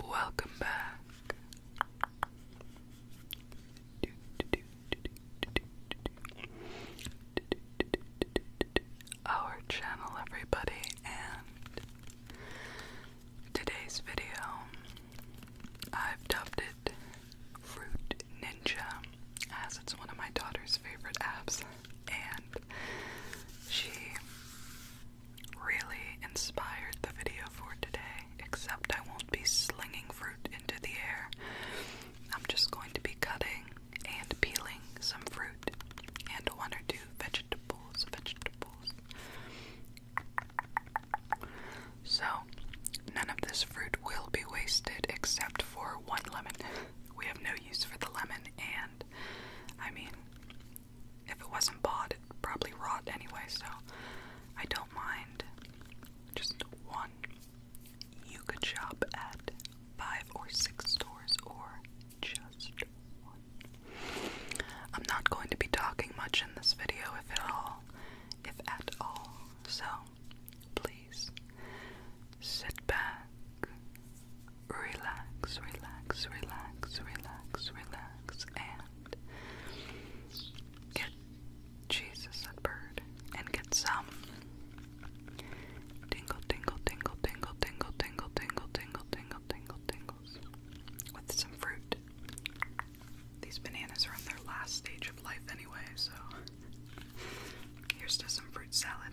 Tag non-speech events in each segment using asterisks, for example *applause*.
Welcome back. Our channel, everybody, and today's video I've dubbed it Fruit Ninja as it's one of my daughter's favorite apps, and she really inspired the video for today. Except I won't be slinging fruit into the air, I'm just going to be cutting and peeling some fruit and one or two vegetables. Vegetables. So, none of this fruit will be wasted except for one lemon. *laughs* we have no use for the lemon, and I mean, if it wasn't bought, it'd probably rot anyway, so I don't mind just one. You could shop at five or six stores or just one. I'm not going to be talking much in this video, if at all, if at all, so please Sit back, relax, relax, relax, relax, relax, and get Jesus that bird and get some tingle, tingle, tingle, tingle, tingle, tingle, tingle, tingle, tingle, tingle, tingles with some fruit. These bananas are on their last stage of life anyway, so here's to some fruit salad.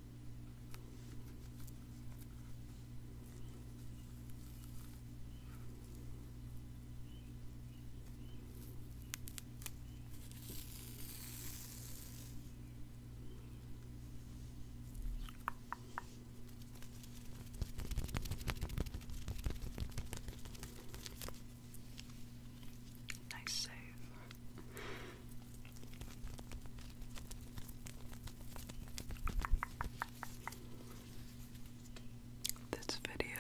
Nice save. This video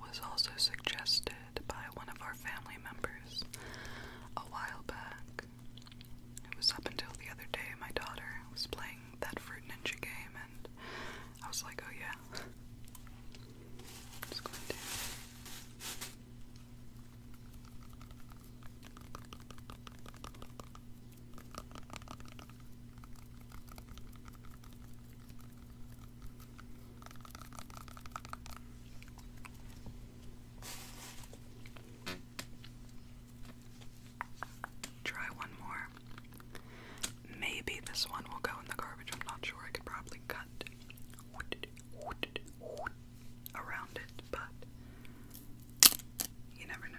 was also suggested by one of our family members a while back. It was up until the other day my daughter was playing that Fruit Ninja game, and I was like, oh yeah. Try one more. Maybe this one will go in the garbage. I'm not sure. I could probably cut around it, but you never know.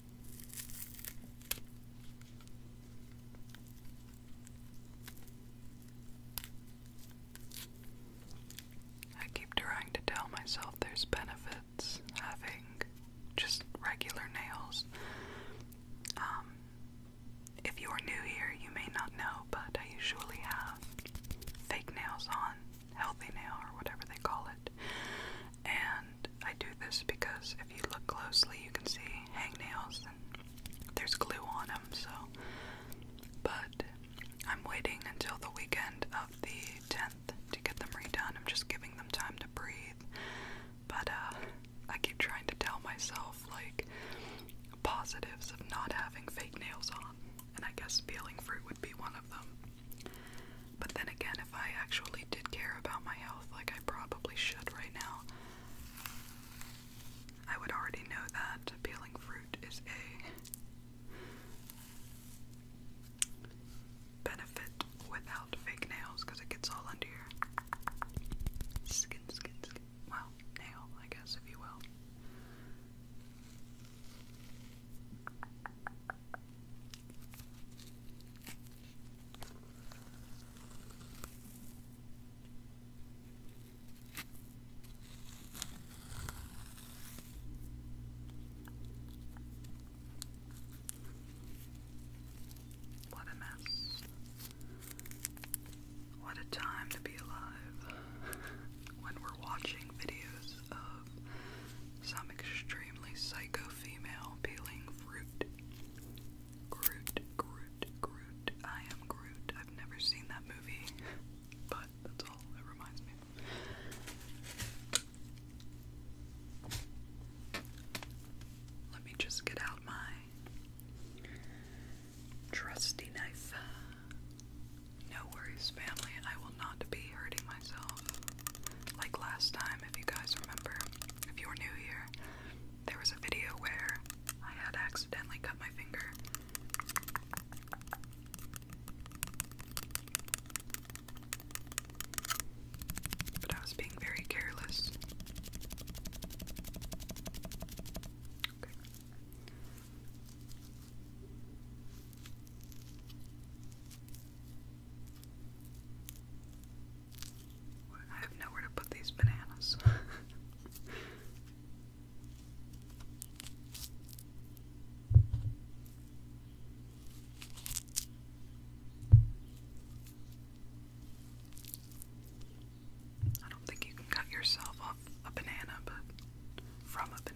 I keep trying to tell myself there's benefits having just regular nails. Um, if you're new here, you may not know, but I usually have fake nails on, healthy nail, or whatever they call it. And I do this because if you look closely, you can see hangnails and there's glue on them, so. But I'm waiting until the weekend of the 10th to get them redone. I'm just giving them time to breathe. But uh, I keep trying to tell myself, like, positives of not having fake nails on, and I guess peeling fruit would be one of them. But then again, if I actually really did care about my health like I probably should right now, I would already know that peeling fruit is a benefit without fake nails because it gets all under your skin, skin, skin. Well, nail, I guess, if you will. What a mess. What a time to be alive *laughs* when we're watching videos of some extremely psycho female peeling fruit Groot, Groot, Groot. I am Groot. I've never seen that movie, but that's all it reminds me Let me just get out my trusty knife. No worries, family. I will not be hurting myself like last time, if you guys remember if you were new here, there was a video where I had accidentally cut my finger. But I was being very careless. I have nowhere to put these bananas. *laughs* I don't think you can cut yourself off a banana, but from a banana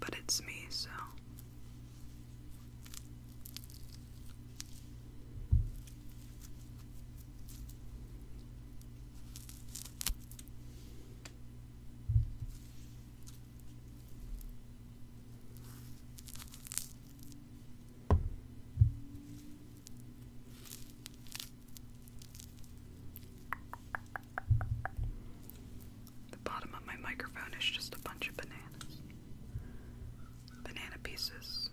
but it's me, so. The bottom of my microphone is just a bunch of bananas. Banana pieces.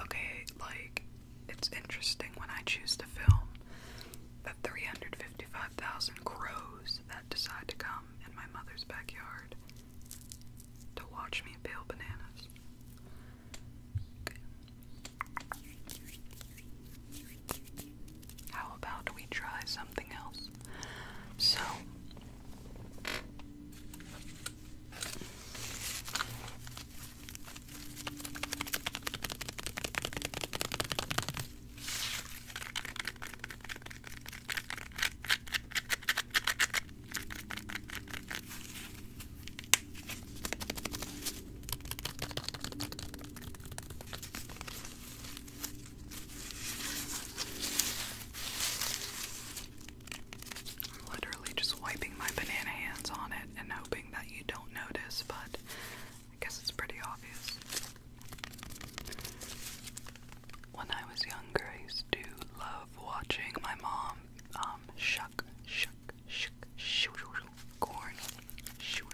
Okay, like it's interesting when I choose to film the 355,000 crows that decide to come in my mother's backyard to watch me peel bananas. How about we try something else? So, I'm literally just wiping my banana hands on it and hoping that you don't notice, but I guess it's pretty obvious. When I was younger, I used to love watching my mom um, shuck, shuck shook, shook, shook, corn, shook,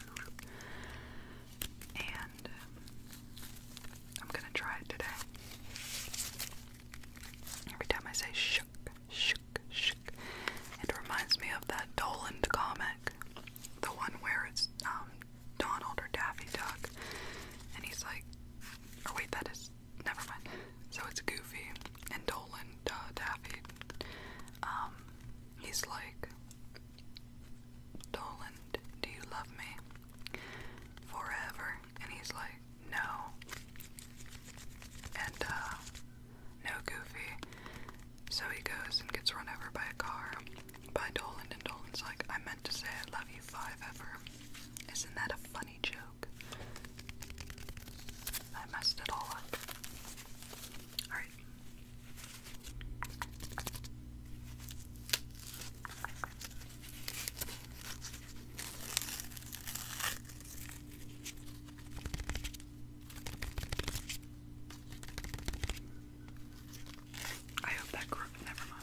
and um, I'm gonna try it today. Every time I say shook, shook, shook, it reminds me of that Doland comic, the one where it's um, Donald or Daffy Duck, and he's like, oh wait, that is never mind. So it's Goofy, and Dolan uh, Daffy, um, he's like, Dolan, do you love me forever? And he's like, no. And, uh, no Goofy. So he goes and gets run over by a car by Dolan, and Dolan's like, I meant to say I love you five ever. Isn't that a funny joke? I messed it all up. Alright. I hope that grew never mind.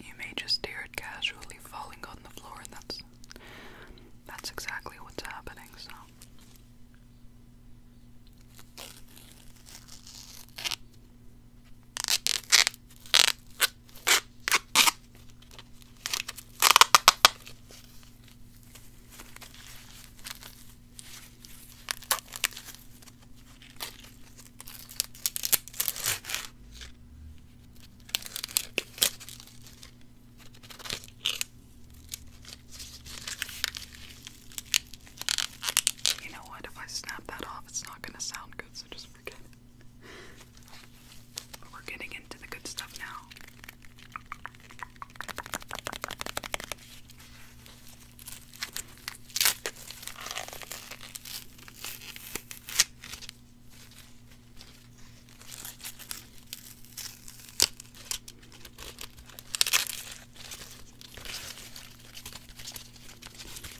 You may just hear it casually falling on the floor, and that's that's exactly what's happening, so you know what? If I snap that off, it's not going to sound good, so just forget we're getting into the good stuff now.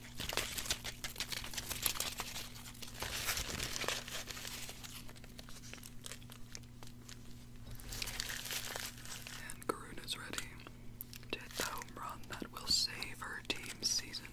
And Garoon is ready to hit the home run that will save her team's season.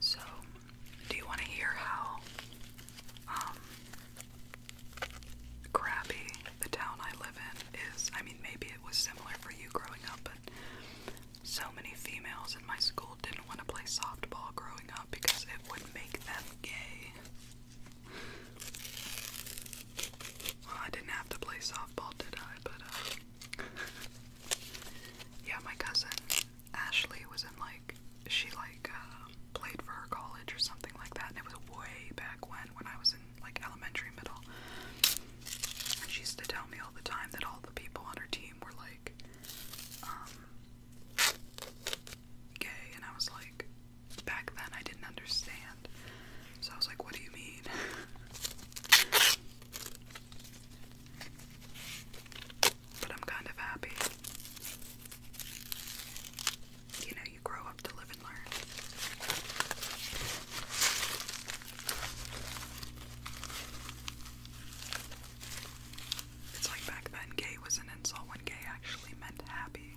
So, do you want to hear how um, crappy the town I live in is? I mean, maybe it was similar for you growing up, but so many females in my school didn't want to play softball growing up because it would make them gay. Well, I didn't have to play softball, did I? But uh, yeah, my cousin Ashley was in like she like uh, played for her college or something like that, and it was way back when when I was in like elementary middle. And she used to tell me all the time that all the people on her team were like um, gay, and I was like, back then I didn't understand. So I was like, what do you mean? *laughs* but I'm kind of happy. You know, you grow up to live and learn. It's like back then, gay was an insult when gay actually meant happy.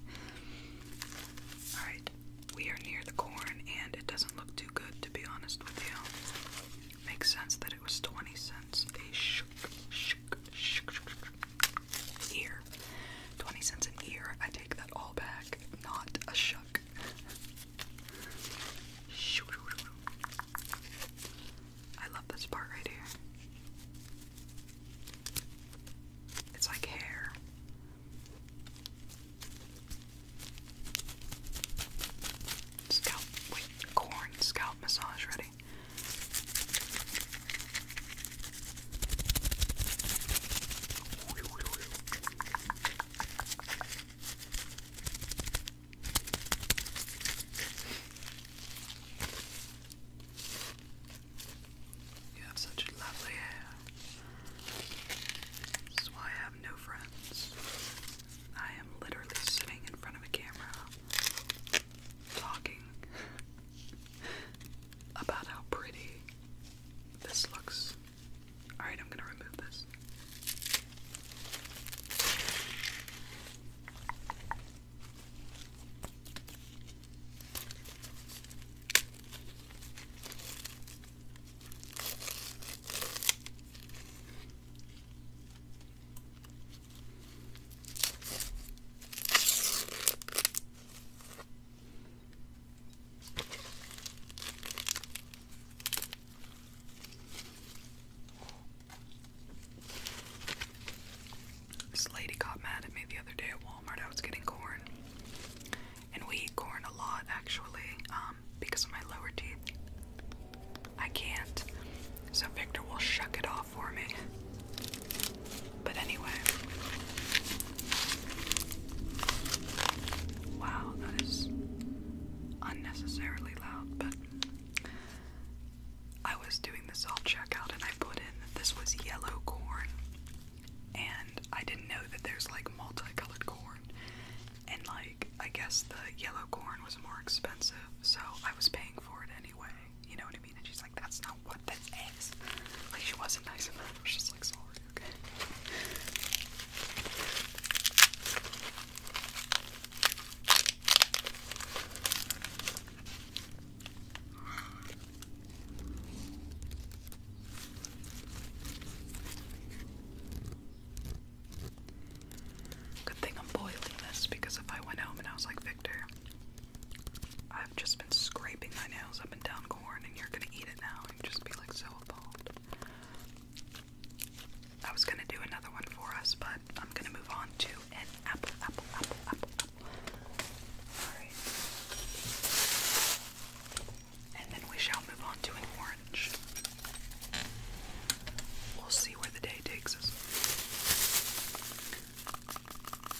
Alright, we are near the corn, and it doesn't look too good, to be honest with you. Makes sense that it was 20 cents a shook, shook, shook, shook, ear. 20 cents an ear. I take that all back. Not a shuck. I love this part right here. It's like hair. Scalp, wait, corn scalp massage ready. You have such lovely hair. That's why I have no friends. I am literally sitting in front of a camera talking about how pretty this looks. Alright, I'm gonna remove this. This lady got mad at me the other day at Walmart. I was getting corn and we eat corn a lot actually um, because of my lower teeth. I can't, so Victor will shuck it off for me. But anyway, wow, that is unnecessarily loud, but. I was doing the self checkout and I put in that this was yellow corn and I didn't know that there's like multicolored corn, and like I guess the yellow corn was more expensive, so I was paying for it anyway. You know what I mean? And she's like, "That's not what this is." Like she wasn't nice about it. She's like, "Sorry, okay." Good thing I'm boiling this because if I went home and I was like, Victor, I've just been scraping my nails up and down corn and you're gonna eat it now, and just be like so appalled. I was gonna do another one for us, but I'm gonna move on to an apple, apple, apple, apple, apple and then we shall move on to an orange. We'll see where the day takes us.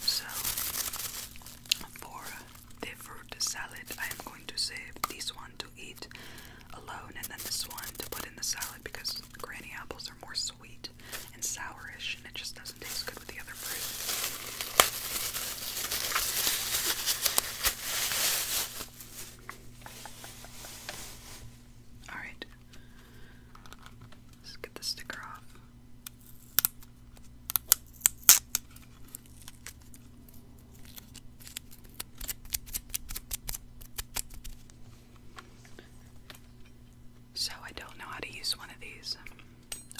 So, for the fruit salad, I am going to save this one to eat alone and then this one to put in the salad because granny apples are more sweet and sourish and it just doesn't taste good with the other fruit. Alright. Let's get the sticker off. So I don't know how to use one of these.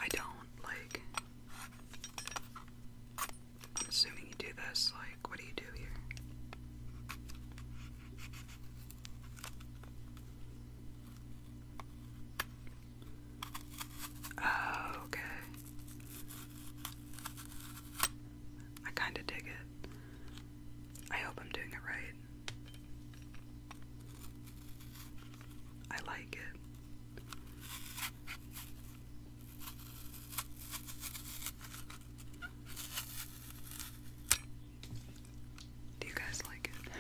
I don't like I'm assuming you do this. Like, what do you do here? Oh, okay. I kind of dig it. I hope I'm doing it right. I like it. Do you guys like it?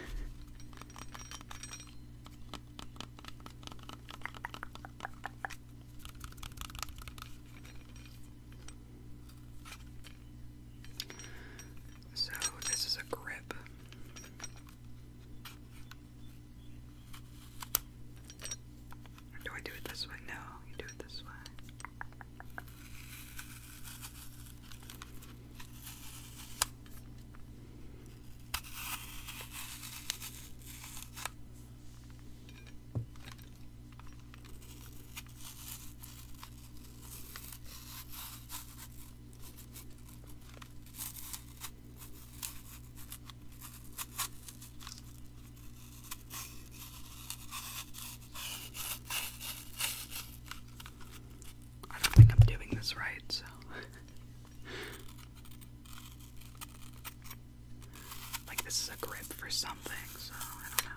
So, this is a grip do I do it this way? No, you do it this way. I don't think I'm doing this right, so. *laughs* like, this is a grip for something, so I don't know.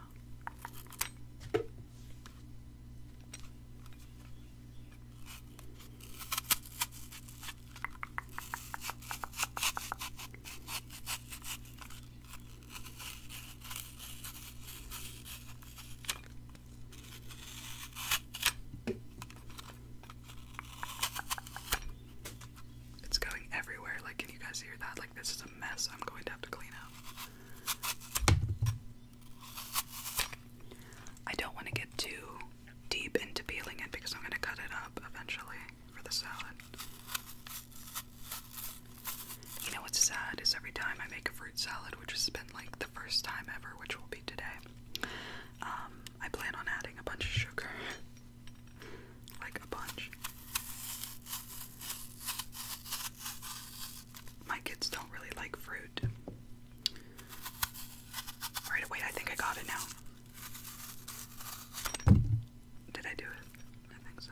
It's going everywhere. Like, can you guys hear that? Like, this is a mess. I'm going to have to clean up. I don't want to get too deep into peeling it because I'm going to cut it up eventually for the salad. You know what's sad is every time I make a fruit salad, which has been like the first time ever, which will be today, um, I plan on adding a bunch of sugar. *laughs* like a bunch. My kids don't really like fruit. Right, wait, I think I got it now. Did I do it? I think so.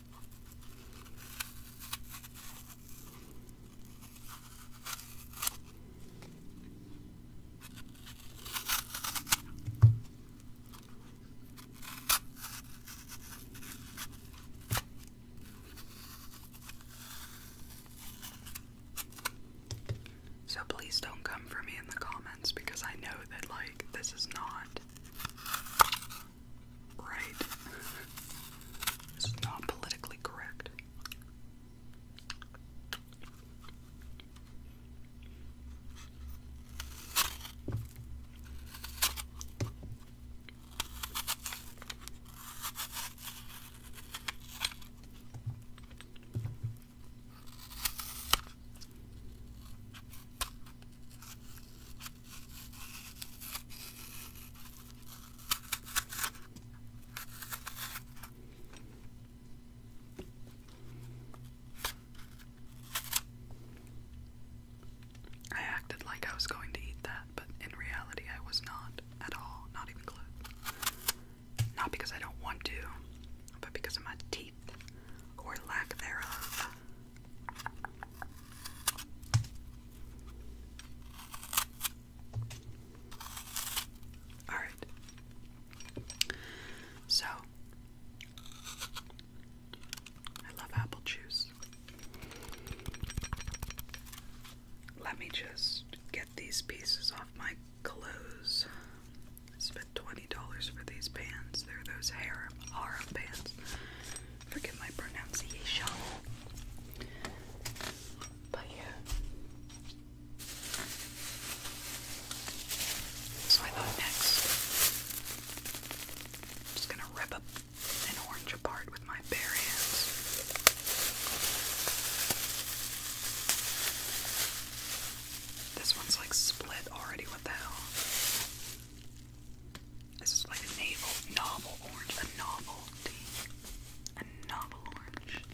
So please don't come for me in the comments because I know that like this is not Right? This not politically correct. I acted like I was going to eat that, but in reality, I was not at all, not even close. Not because I don't want to, but because of my teeth or lack thereof. All right. So, I love apple juice. Let me just get these pieces off my clothes. I spent $20 for these pants. They're those harem, harem pants. Forgive my pronunciation. But yeah. So I thought next, I'm just gonna rip an orange apart with my bare hands. This one's like split already, what the hell? This is like a navel, novel orange, a novelty, a novel orange.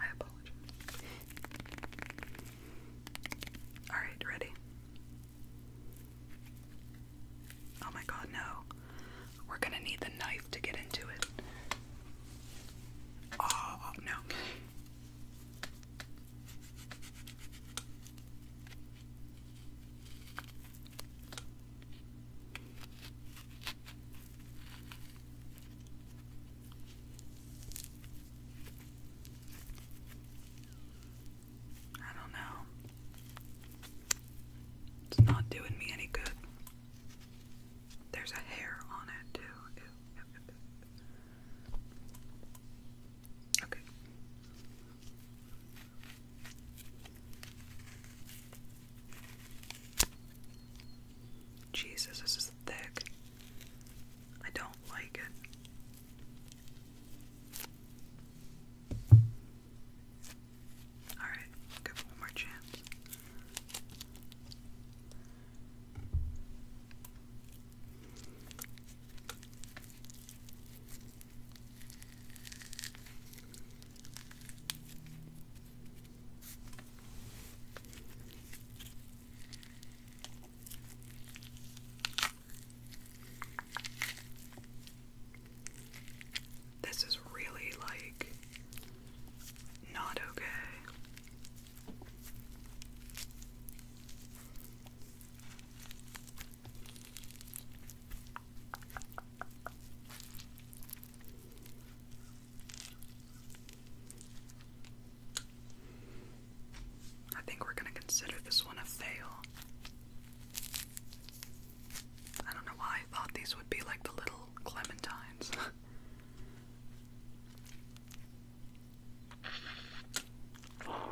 I apologize. All right, ready? Oh my god, no. We're gonna need the knife to get into it. Oh, no. I don't know. It's not doing me any good. There's a hair on it too. Okay. Jesus, this is thick. I don't like it. Alright, give one more chance. This is really like not okay. I think we're going to consider this one a fail. I don't know why I thought these would be like the little clementines. *laughs*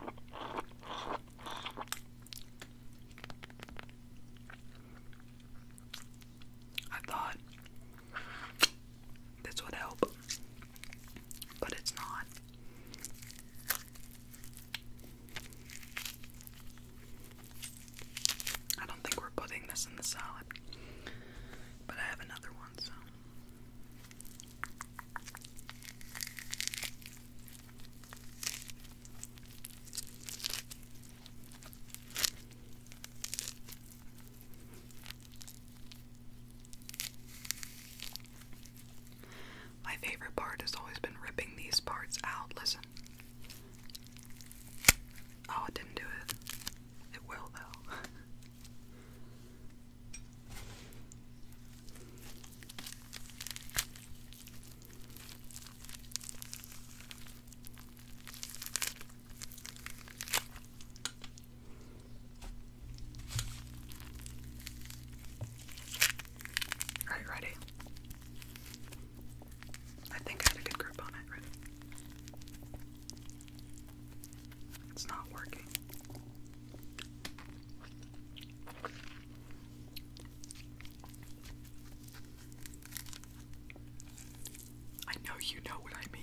I thought this would help, but it's not. I don't think we're putting this in the salad, but I have another one, so. My favorite part has always been ripping these parts out. Listen. Oh, it didn't do it. It will, though. All right, ready? I think I had a good grip on it. Ready? It's not working. I know you know what I mean.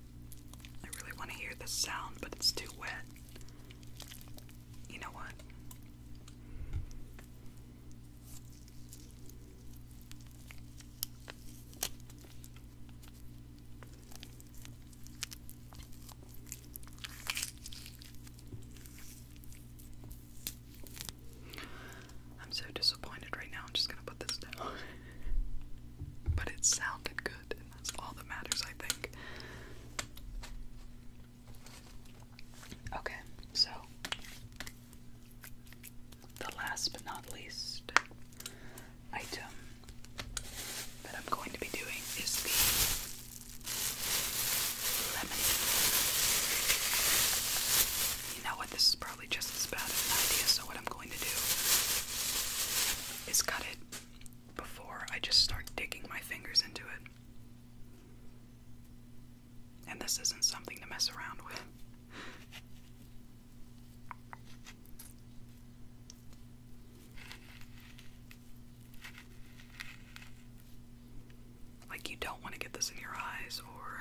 I really want to hear this sound, but it's too wet. You know what? I'm so disappointed right now. I'm just going to put this down. *laughs* but it sounded good that's all that matters, I think. Okay, so the last but not least item that I'm going to be doing is the lemonade. You know what? This is probably just as bad an idea, so what I'm going to do is cut it before I just start digging my fingers into it. And this isn't something to mess around with. Like, you don't want to get this in your eyes or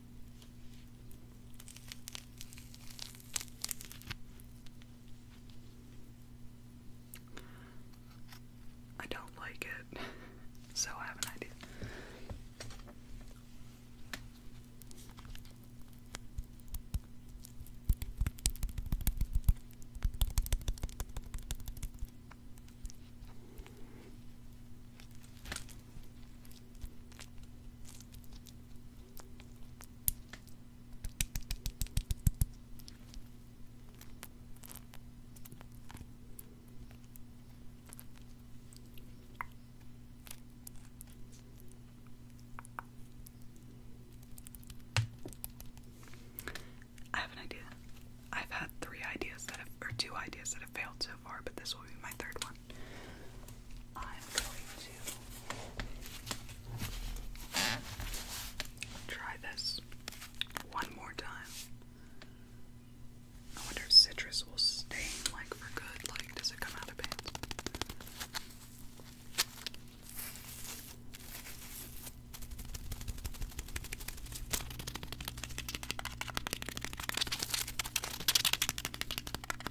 I don't like it, *laughs* so I have an idea. I have an idea. I've had three ideas that have, or two ideas that have failed so far, but this will be my third one. I'm going to try this one more time. I wonder if citrus will stain like for good. Like, does it come out of pants?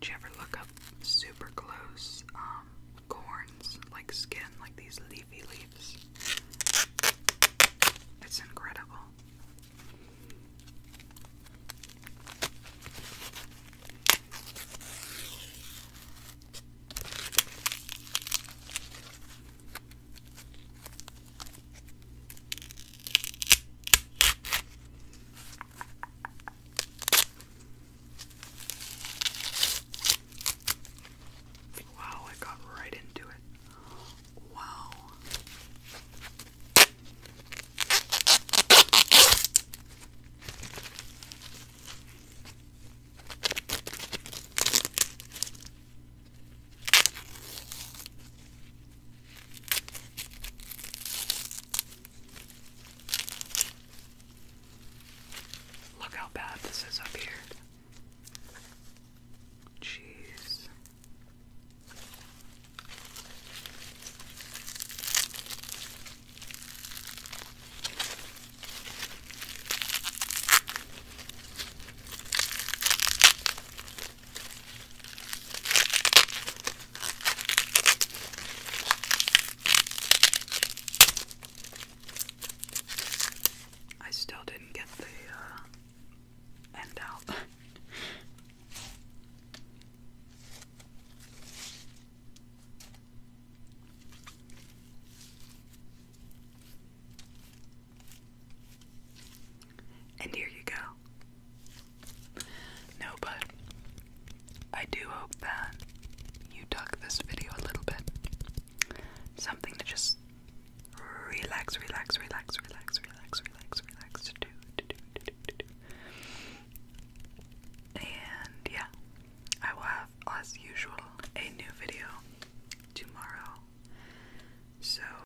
Did you ever look up super close um, corns, like skin, like these leafy leaves? It's incredible. Wow, I got right into it. Wow. Look how bad this is up here. Jeez. I still didn't get the uh, end out. *laughs* *laughs* And here you go. No, but I do hope that you took this video a little bit. Something to just relax, relax, relax, relax, relax, relax, relax, to And yeah, I will have, as usual, a new video tomorrow. So